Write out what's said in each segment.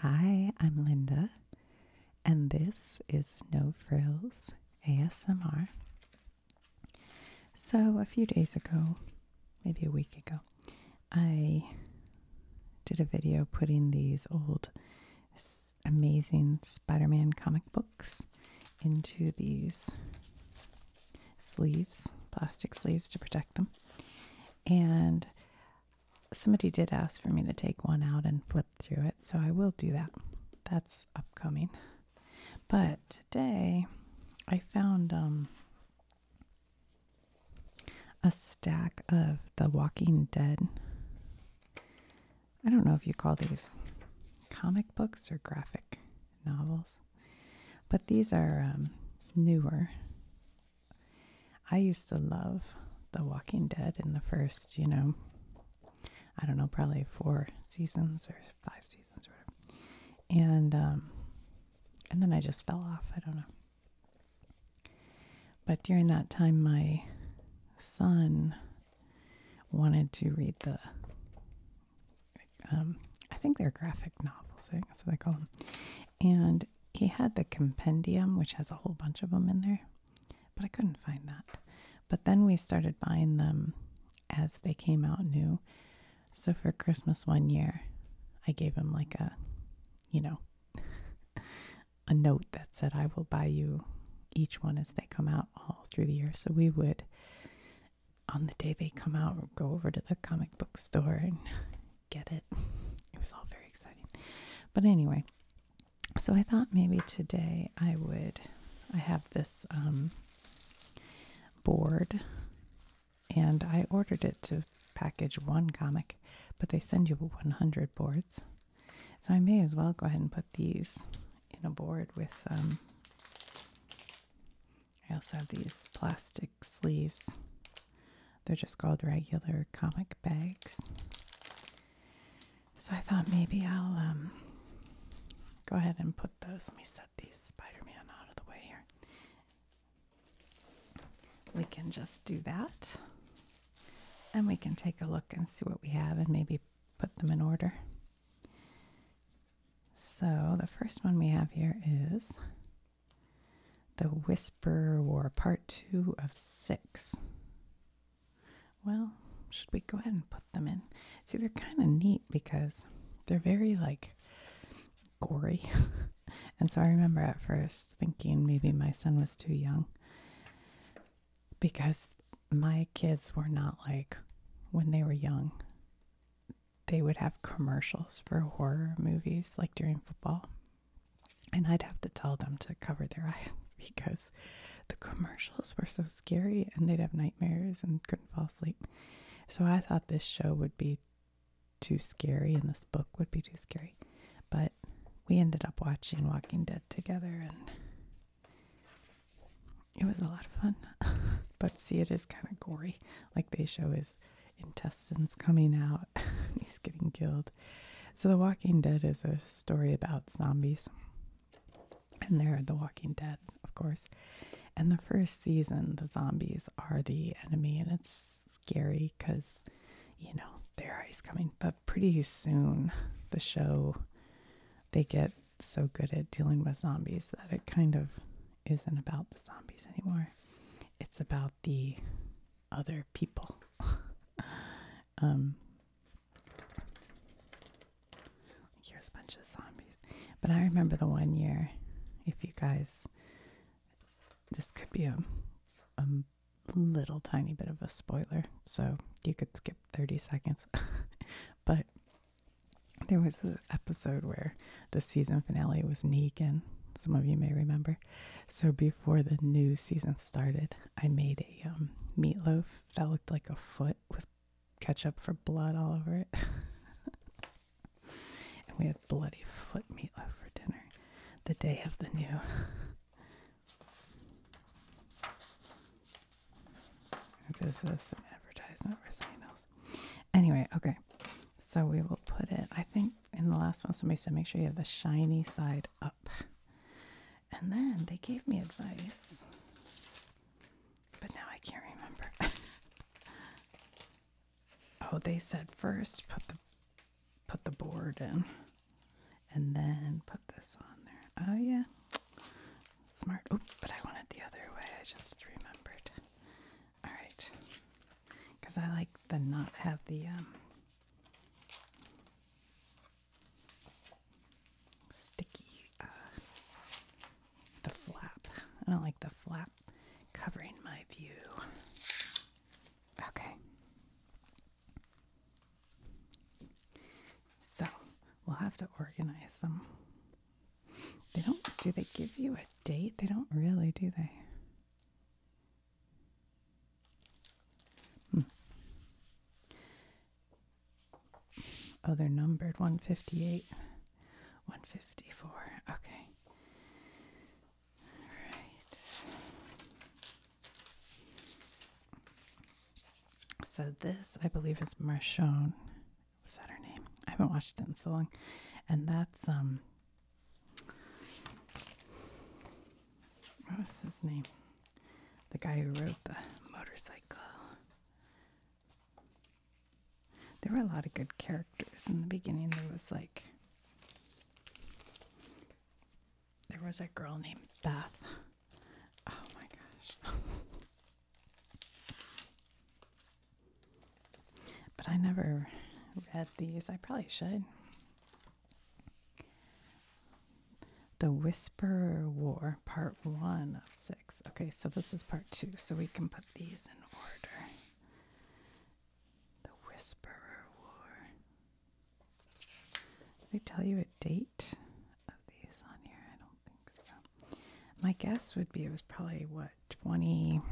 Hi, I'm Linda, and this is No Frills ASMR. So, a few days ago, maybe a week ago, I did a video putting these old amazing Spider Man comic books into these sleeves, plastic sleeves to protect them. And somebody did ask for me to take one out and flip through it, so I will do that. That's upcoming. But today I found um, a stack of The Walking Dead. I don't know if you call these comic books or graphic novels, but these are um, newer I used to love The Walking Dead in the first, you know, I don't know, probably four seasons or five seasons whatever. And um and then I just fell off. I don't know. But during that time my son wanted to read the um I think they're graphic novels, I guess what they call them. And he had the compendium, which has a whole bunch of them in there, but I couldn't find that. But then we started buying them as they came out new. So for Christmas one year, I gave him like a, you know, a note that said, I will buy you each one as they come out all through the year. So we would, on the day they come out, go over to the comic book store and get it. It was all very exciting. But anyway, so I thought maybe today I would. I have this um, board and I ordered it to package one comic, but they send you 100 boards. So I may as well go ahead and put these in a board with. Um, I also have these plastic sleeves they're just called regular comic bags. So I thought maybe I'll um, go ahead and put those. Let me set these Spider Man out of the way here. We can just do that. And we can take a look and see what we have and maybe put them in order. So the first one we have here is the Whisper War, part two of six. Well, should we go ahead and put them in? See, they're kind of neat because they're very like gory. and so I remember at first thinking maybe my son was too young because my kids were not like when they were young, they would have commercials for horror movies like during football. And I'd have to tell them to cover their eyes because the commercials were so scary and they'd have nightmares and couldn't fall asleep. So I thought this show would be too scary and this book would be too scary. But we ended up watching Walking Dead together and it was a lot of fun. but see, it is kind of gory. Like they show is intestines coming out. He's getting killed. So, The Walking Dead is a story about zombies. And they're The Walking Dead, of course. And the first season, the zombies are the enemy, and it's scary because, you know, they're always coming. But pretty soon, the show, they get so good at dealing with zombies that it kind of isn't about the zombies anymore. It's about the other people. Um, here's a bunch of zombies. But I remember the one year, if you guys, this could be a, a little tiny bit of a spoiler, so you could skip 30 seconds. but there was an episode where the season finale was Negan. Some of you may remember. So before the new season started, I made a um, meatloaf that looked like a foot with ketchup for blood all over it. and we had bloody foot meatloaf for dinner the day of the new. is this an advertisement for something else? Anyway, okay. So we will put it, I think in the last one, somebody said, make sure you have the shiny side up. And then they gave me advice, but now I can't remember. oh, they said first put the put the board in, and then put this on there. Oh yeah, smart. Oh, but I want it the other way. I just remembered. All right, because I like the not have the um, sticky uh, the flap. I don't like the flap covering my view. Okay. So we'll have to organize them. They don't, do they give you a date? They don't really, do they? Hmm. Oh, they're numbered 158, 154. Okay. All right. So, this, I believe, is Marchone. Was that her name? I haven't watched it in so long. And that's um, what was his name? The guy who wrote the motorcycle. There were a lot of good characters in the beginning. There was like, there was a girl named Beth. Oh my gosh. But I never read these. I probably should. The Whisperer War, Part 1 of 6. Okay, so this is Part 2, so we can put these in order. The Whisperer War. They tell you a date of these on here? I don't think so. My guess would be it was probably, what, 20.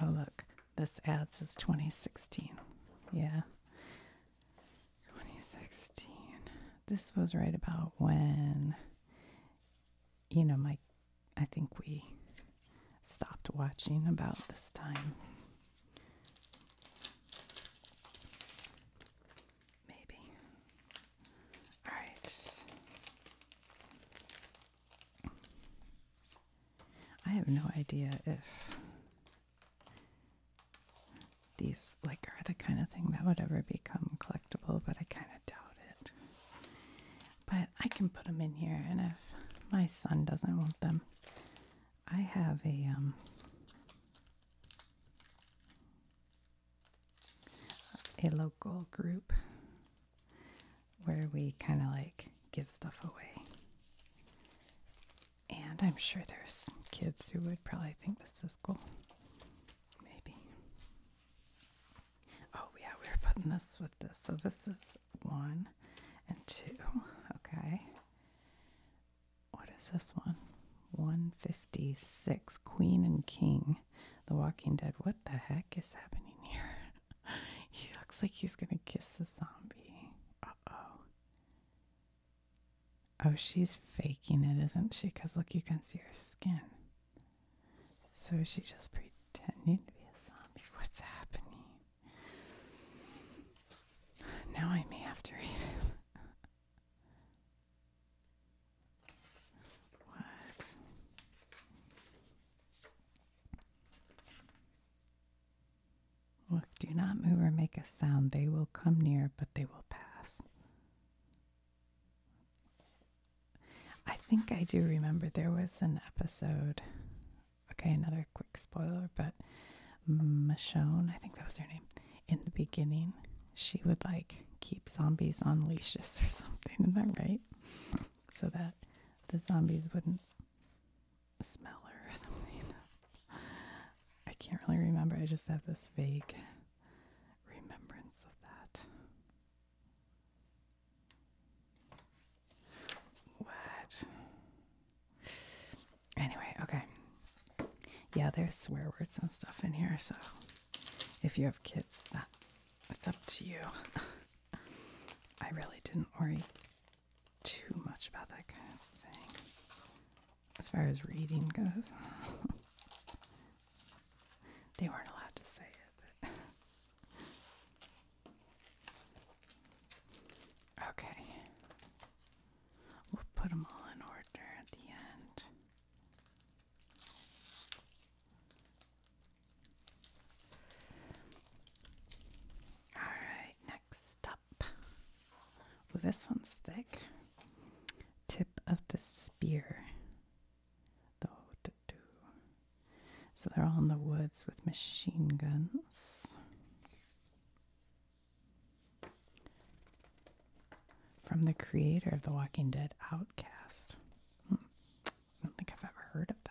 Oh, look, this ad is 2016. Yeah. 2016. This was right about when, you know, my, I think we stopped watching about this time. Maybe. Alright. I have no idea if these like are the kind of thing that would ever become collectible, but I kind of doubt it. But I can put them in here, and if my son doesn't want them, I have a um a local group where we kind of like give stuff away. And I'm sure there's kids who would probably think this is cool. Maybe. Oh, yeah, we are putting this with this. So this is one and two. Okay. What is this one? 156 Queen and King the Walking Dead. What the heck is happening here? he looks like he's gonna kiss the zombie. Uh oh. Oh, she's faking it, isn't she? Because look, you can see her skin. So she's just pretending to be a zombie? What's happening? Now I may have to read it. What? Look, do not move or make a sound. They will come near, but they will pass. I think I do remember there was an episode. Okay, another quick spoiler, but Michonne, I think that was her name, in the beginning she would like keep zombies on leashes or something. is that right? So that the zombies wouldn't smell her or something. I can't really remember. I just have this vague remembrance of that. What? Anyway, okay. Yeah, there's swear words and stuff in here, so if you have kids, that it's up to you. I really didn't worry too much about that kind of thing as far as reading goes. they weren't allowed to say it. But okay. We'll put them all in order at the end. All right, next up. Ooh, this one's thick. Tip of the spear. So they're all in the woods with machine guns from the creator of The Walking Dead, Outcast. Hmm. I don't think I've ever heard of that.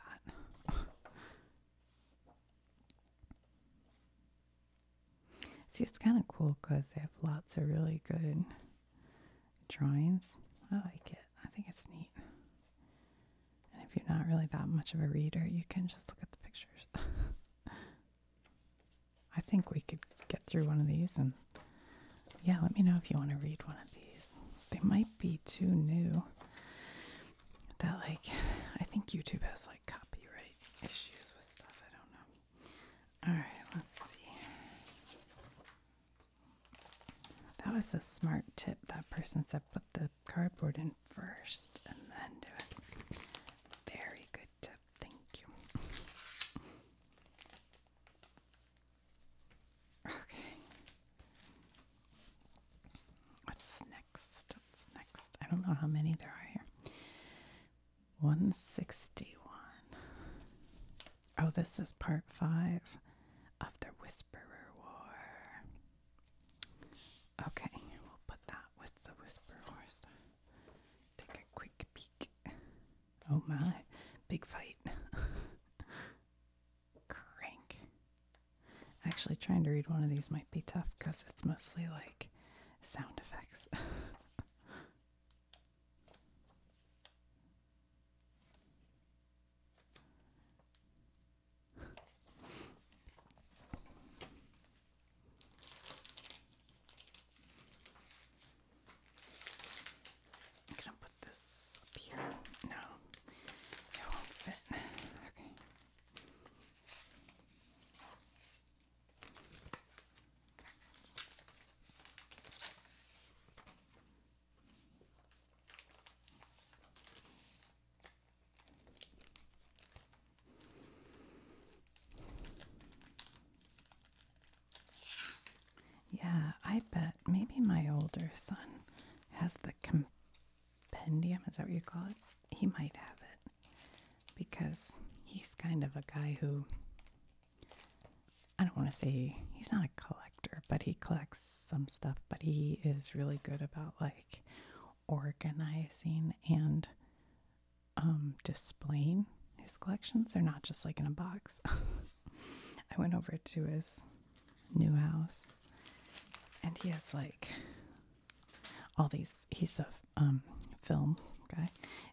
See, it's kind of cool because they have lots of really good drawings. I like it. I think it's neat. And if you're not really that much of a reader, you can just look at the pictures. I think we could get through one of these and yeah, let me know if you want to read one of these. They might be too new. That like I think YouTube has like copyright issues with stuff. I don't know. All right, let's see. That was a smart tip. That person said put the cardboard in first and then do it. Very good tip. Thank you. Okay. What's next? What's next? I don't know how many there are here. 161. Oh, this is part five of the Whisperer War. Okay, we'll put that with the Whisperer stuff. Take a quick peek. Oh my, big fight. Crank. Actually, trying to read one of these might be tough because it's mostly like sound effects. I'm gonna put this up here. No, it won't fit. Okay. Yeah, I bet maybe my older son has the compendium. Is that what you call it? He might have it because he's kind of a guy who I don't want to say he's not a collector, but he collects some stuff, but he is really good about like organizing and um, displaying his collections. They're not just like in a box. I went over to his new house and he has like all these, he's a um, film guy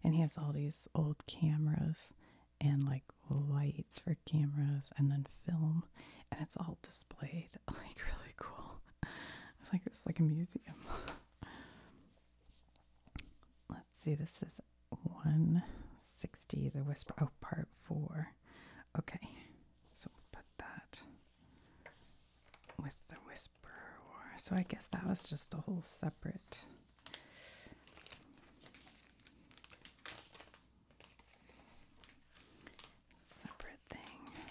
and he has all these old cameras and like lights for cameras and then film and it's all displayed like really cool. It's like it's like a museum. Let's see, this is 160, the whisper, oh, part four. Okay, so put that with the whisper So I guess that was just a whole separate. Separate thing.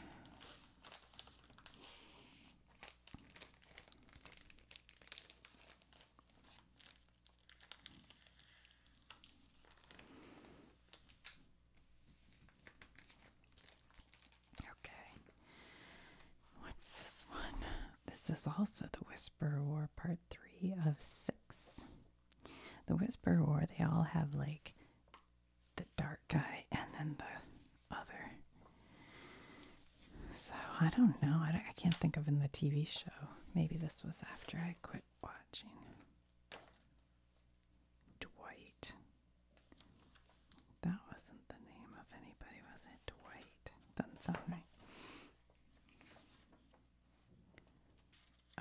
Okay. What's this one? This is also the Whisper War part 3 of 6. The Whisper War, they all have like the dark guy and then the other. So I don't know. I, I can't think of in the TV show. Maybe this was after I quit watching. Dwight. That wasn't the name of anybody, was it? Dwight. Doesn't sound right.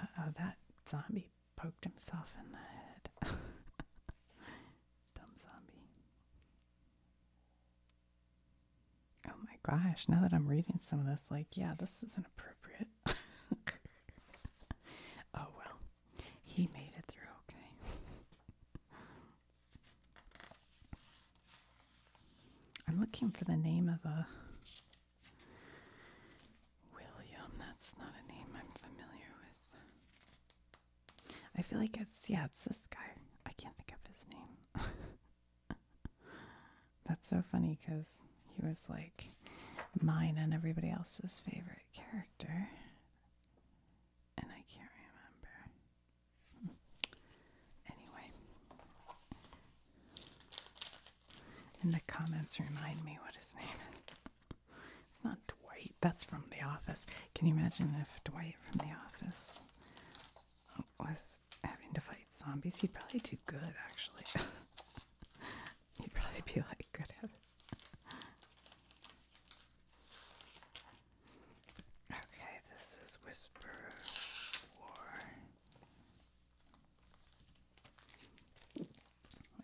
oh, that zombie poked himself in the head. Dumb zombie. Oh my gosh, now that I'm reading some of this, like, yeah, this isn't appropriate. oh well, he made it through okay. I'm looking for the name of a William. That's not a name I'm familiar with. I feel like it's yeah, it's this guy. I can't think of his name. That's so funny because he was like mine and everybody else's favorite character, and I can't remember. Anyway, in the comments, remind me what his name is. It's not Dwight. That's from The Office. Can you imagine if Dwight from The Office was having to fight zombies? He'd probably do good, actually. he'd probably be like good at Okay, this is Whisper War. We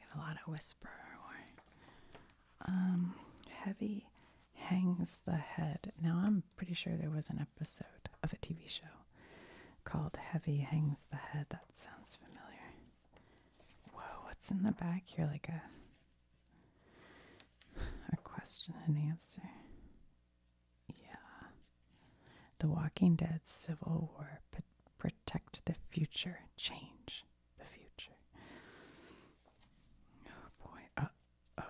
have a lot of Whisper War. Um, heavy hangs the head. Now, I'm pretty sure there was an episode of a TV show called Heavy Hangs the Head. That sounds familiar. Whoa, what's in the back here? Like a a question and answer. Yeah. The Walking Dead Civil War protect the future, change the future. Oh boy. Uh, Oh,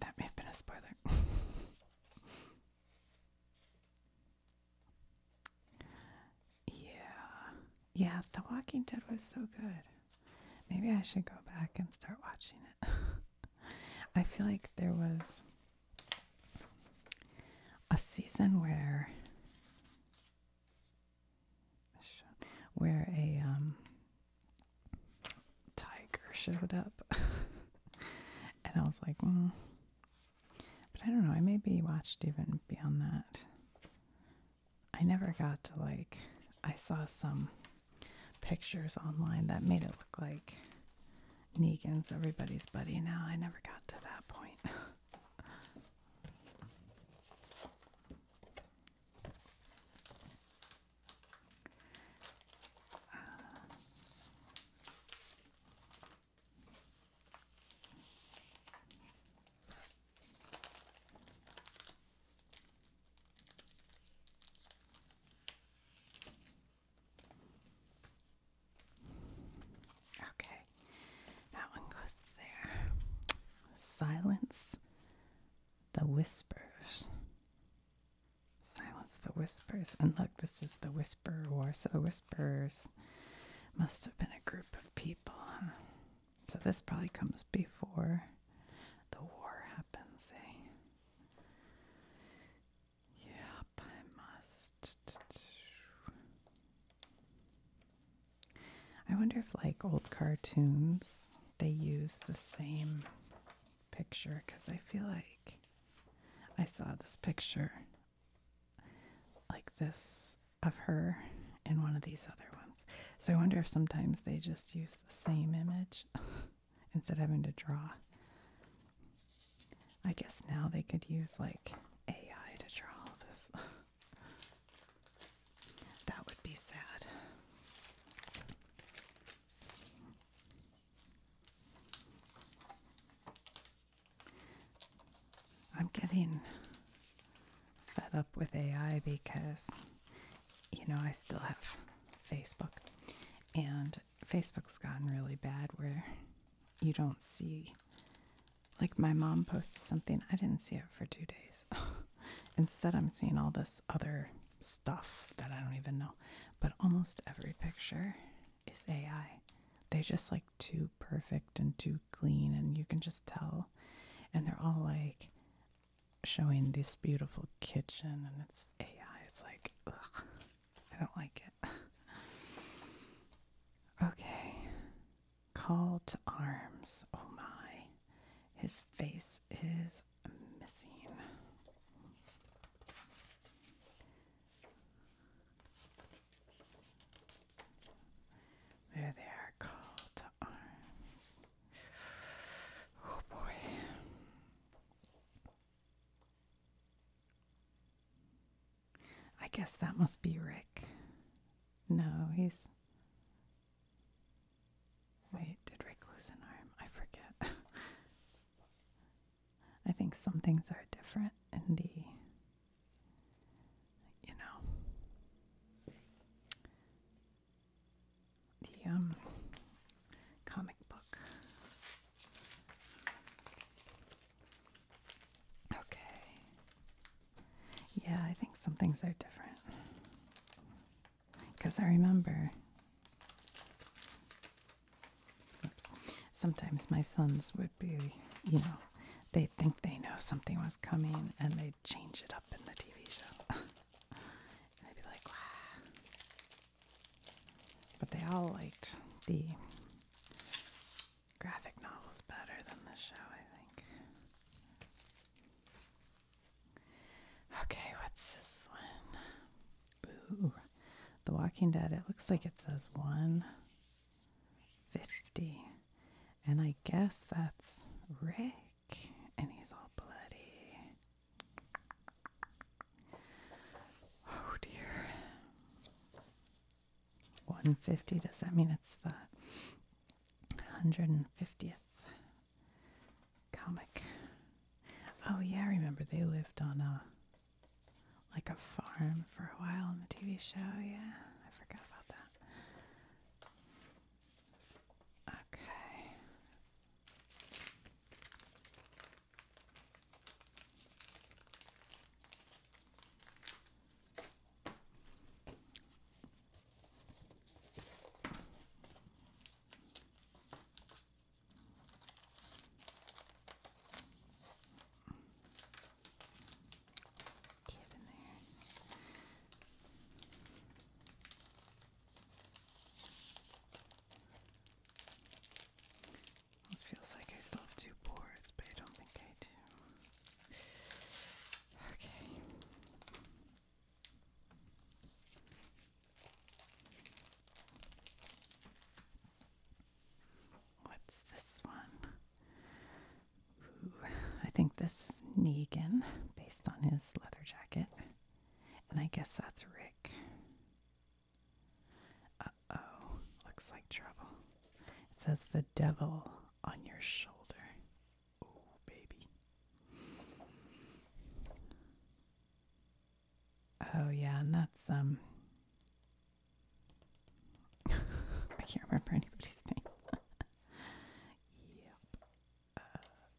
that may have been a spoiler. yeah, yeah, The Walking Dead was so good. Maybe I should go back and start watching it. I feel like there was a season where where a um, tiger showed up, and I was like, mm. but I don't know. I maybe watched even beyond that. I never got to like. I saw some pictures online that made it look like Negan's everybody's buddy. Now I never got to that point. Uh, okay, that one goes there. Silence the whispers. Silence the whispers. And look, this is the Whisper War. So the whispers must have been a group of people, huh? So this probably comes before the war happens, eh? Yep, I must. I wonder if, like old cartoons, they use the same picture because I feel like I saw this picture like this of her in one of these other ones. So I wonder if sometimes they just use the same image instead of having to draw. I guess now they could use like AI to draw this. That would be sad. I'm getting fed up with AI because, you know, I still have Facebook. And Facebook's gotten really bad where you don't see. Like, my mom posted something, I didn't see it for two days. Instead, I'm seeing all this other stuff that I don't even know. But almost every picture is AI. They're just like too perfect and too clean, and you can just tell. And they're all like showing this beautiful kitchen, and it's AI. It's like, ugh, I don't like it. okay, Call to arms. Oh my. His face is missing. There they are, called to arms. Oh boy. I guess that must be Rick. No, he's Wait, did Rick lose an arm? I forget. I think some things are different in the, you know, the um, comic book. Okay. Yeah, I think some things are different. Because I remember sometimes my sons would be, you know, they'd think they know something was coming and they'd change it up in the TV show. and would be like, But they all liked the graphic novels better than the show, I think. Okay, what's this one? Ooh, The Walking Dead. It looks like it says 150. And I guess that's Rick. And he's all bloody. Oh dear. 150. Does that mean it's the 150th comic. Oh yeah, remember they lived on a like a farm for a while on the TV show. Yeah, I forgot about that. Okay. Get in there. It feels like I still have two boards, but I don't think I do. Okay. What's this one? I think this is Negan based on his leather jacket. And I guess that's Rick. Uh oh, looks like trouble. It says the devil on your shoulder. Oh, baby. Oh, yeah, and that's, um, I can't remember anybody's name. yep. Uh,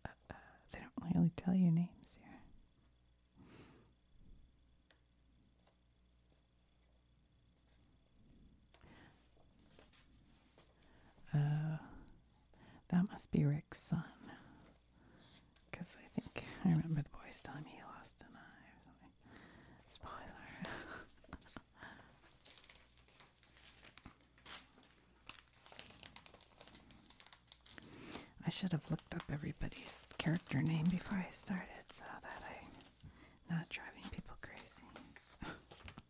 uh, uh, they don't really tell you names here. Uh, that must be Rick's son. Because I think I remember the boys telling me he lost an eye or something. Spoiler. I should have looked up everybody's character name before I started so that I'm not driving people crazy.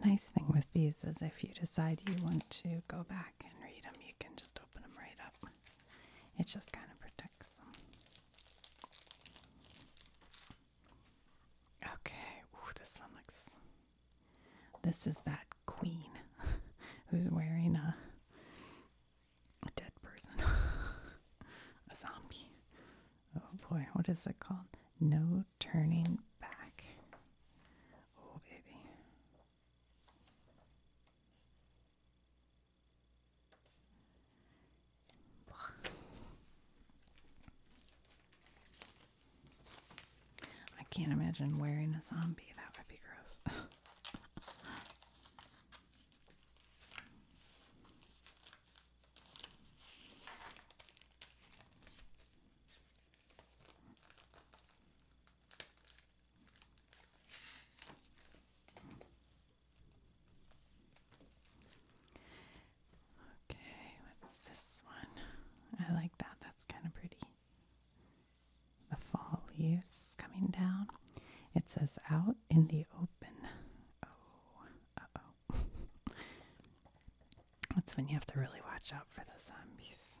The nice thing with these is if you decide you want to go back and read them, you can just open them right up. It just kind of protects them. Okay, this one looks. This is that queen who's wearing a, a dead person, a zombie. Oh boy, what is it called? No turning back. Oh baby. I can't imagine wearing a zombie. That would be gross. Okay, what's this one? I like that. That's kind of pretty. The fall leaves coming down. It says out in the open. Oh, uh oh. That's when you have to really watch out for the zombies.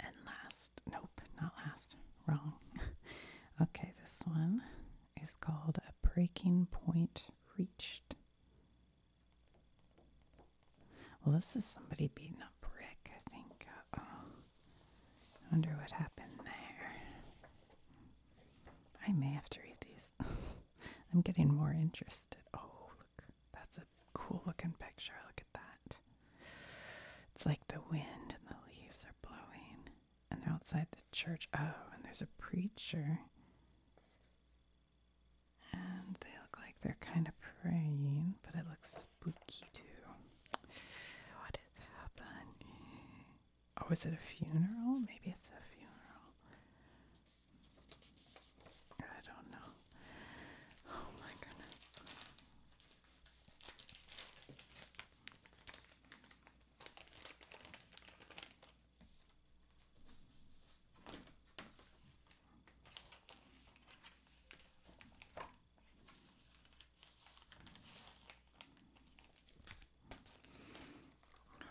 And last, nope, not last, wrong. okay, this one is called A Breaking Point Reached. Well, this is somebody beating a brick, I think. Uh Wonder what happened there. I may have to read these. I'm getting more interested. Oh, look. That's a cool looking picture. Look at that. It's like the wind and the leaves are blowing. And they're outside the church. Oh, and there's a preacher. And they look like they're kind of praying, but it looks spooky too. What is happening? Oh, is it a funeral? Maybe it's a funeral. I don't know. Oh my goodness.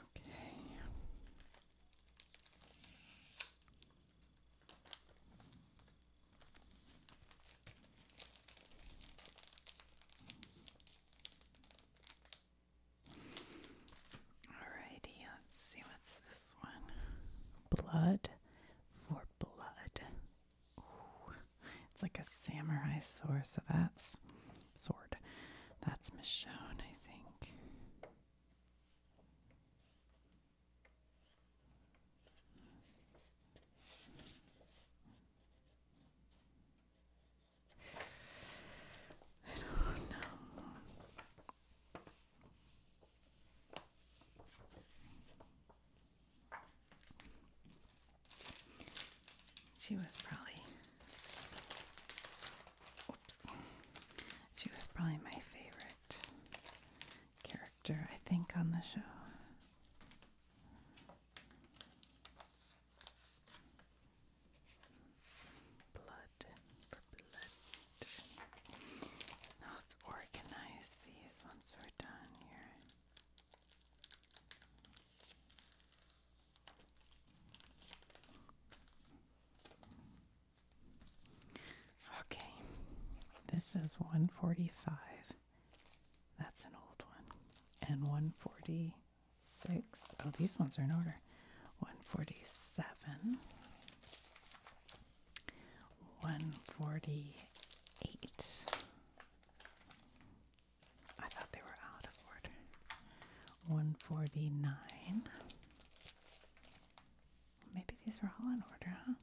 Okay. Alrighty, let's see what's this one. Blood for blood it's like a samurai sword, so that's sword. That's Michonne, I think. I don't know. She was probably, oops, she was probably my favorite character, I think, on the show. Blood let's organize these once we're Okay, this is 145. That's an old one. And 146. Oh, these ones are in order. 147. One forty eight. I thought they were out of order. One forty nine. Maybe these were all in order, huh?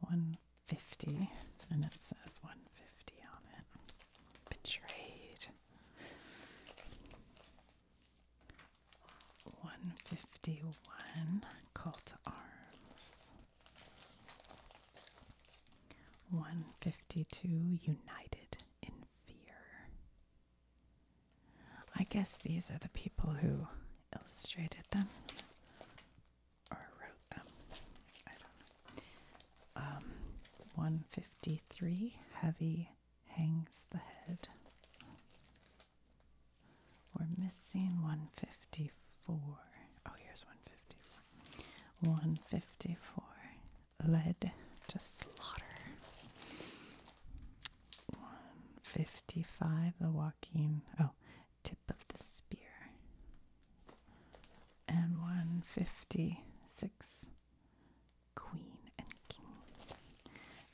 One fifty, and it says one fifty on it. Betrayed. One fifty one. Call to arms. 152 United in Fear. I guess these are the people who illustrated them or wrote them. I don't know. Um, 153 Heavy Hangs the Head. We're missing 154. Oh, here's 154. 154. Led to slaughter. 155. The walking. Oh, tip of the spear. And 156. Queen and king.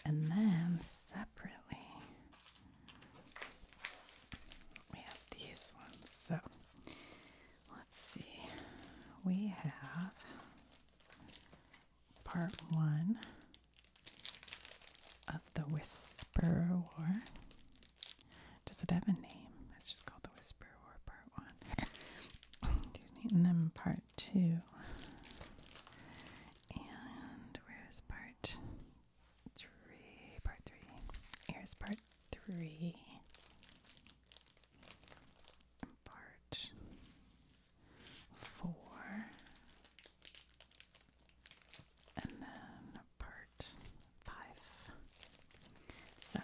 And then separately, we have these ones. So let's see. We have part one of the Whisper War. Does it have a name? It's just called the Whisper War Part One. Excuse me. And then part two. And where's part three, part three. Here's part three. Part four. And then part five. So,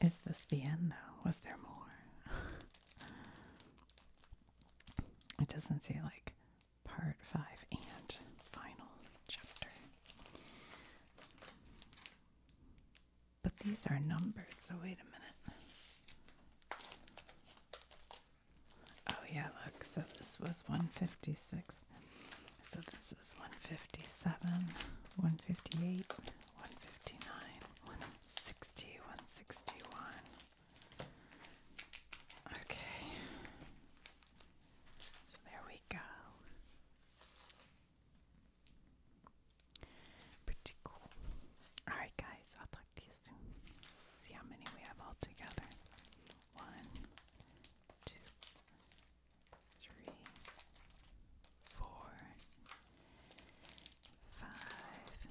is this the end though? Was there more? it doesn't seem like part five and final chapter. But these are numbered, so wait a minute. Oh, yeah, look, so this was 156. So this is 157, 158, 159, 160, 161. Okay. So there we go. Pretty cool. Alright, guys, I'll talk to you soon. See how many we have all together. One, two, three, four, five,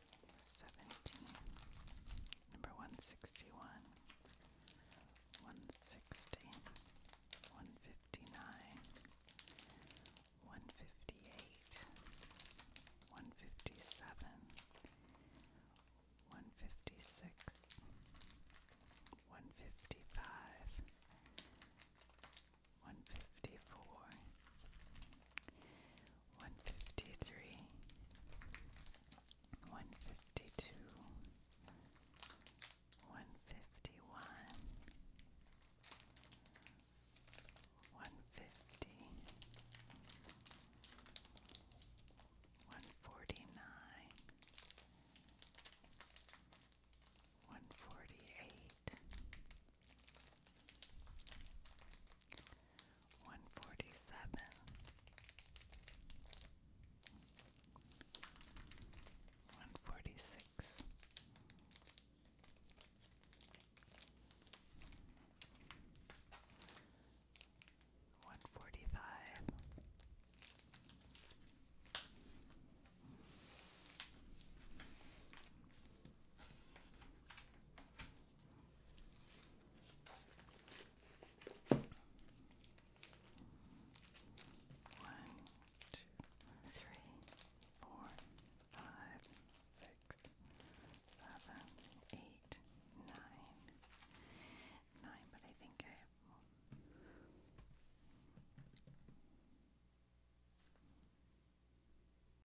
seventeen, number one sixty one, one sixty, one fifty nine, one fifty eight, one fifty seven, one fifty six, one fifty five. 154 one fifty three, one fifty two, one fifty one, one fifty, one forty nine. One forty eight, one forty seven, one forty six, one forty five. One one, two, three, four, five, six, seven, eight, nine. Nine, but I think I have more.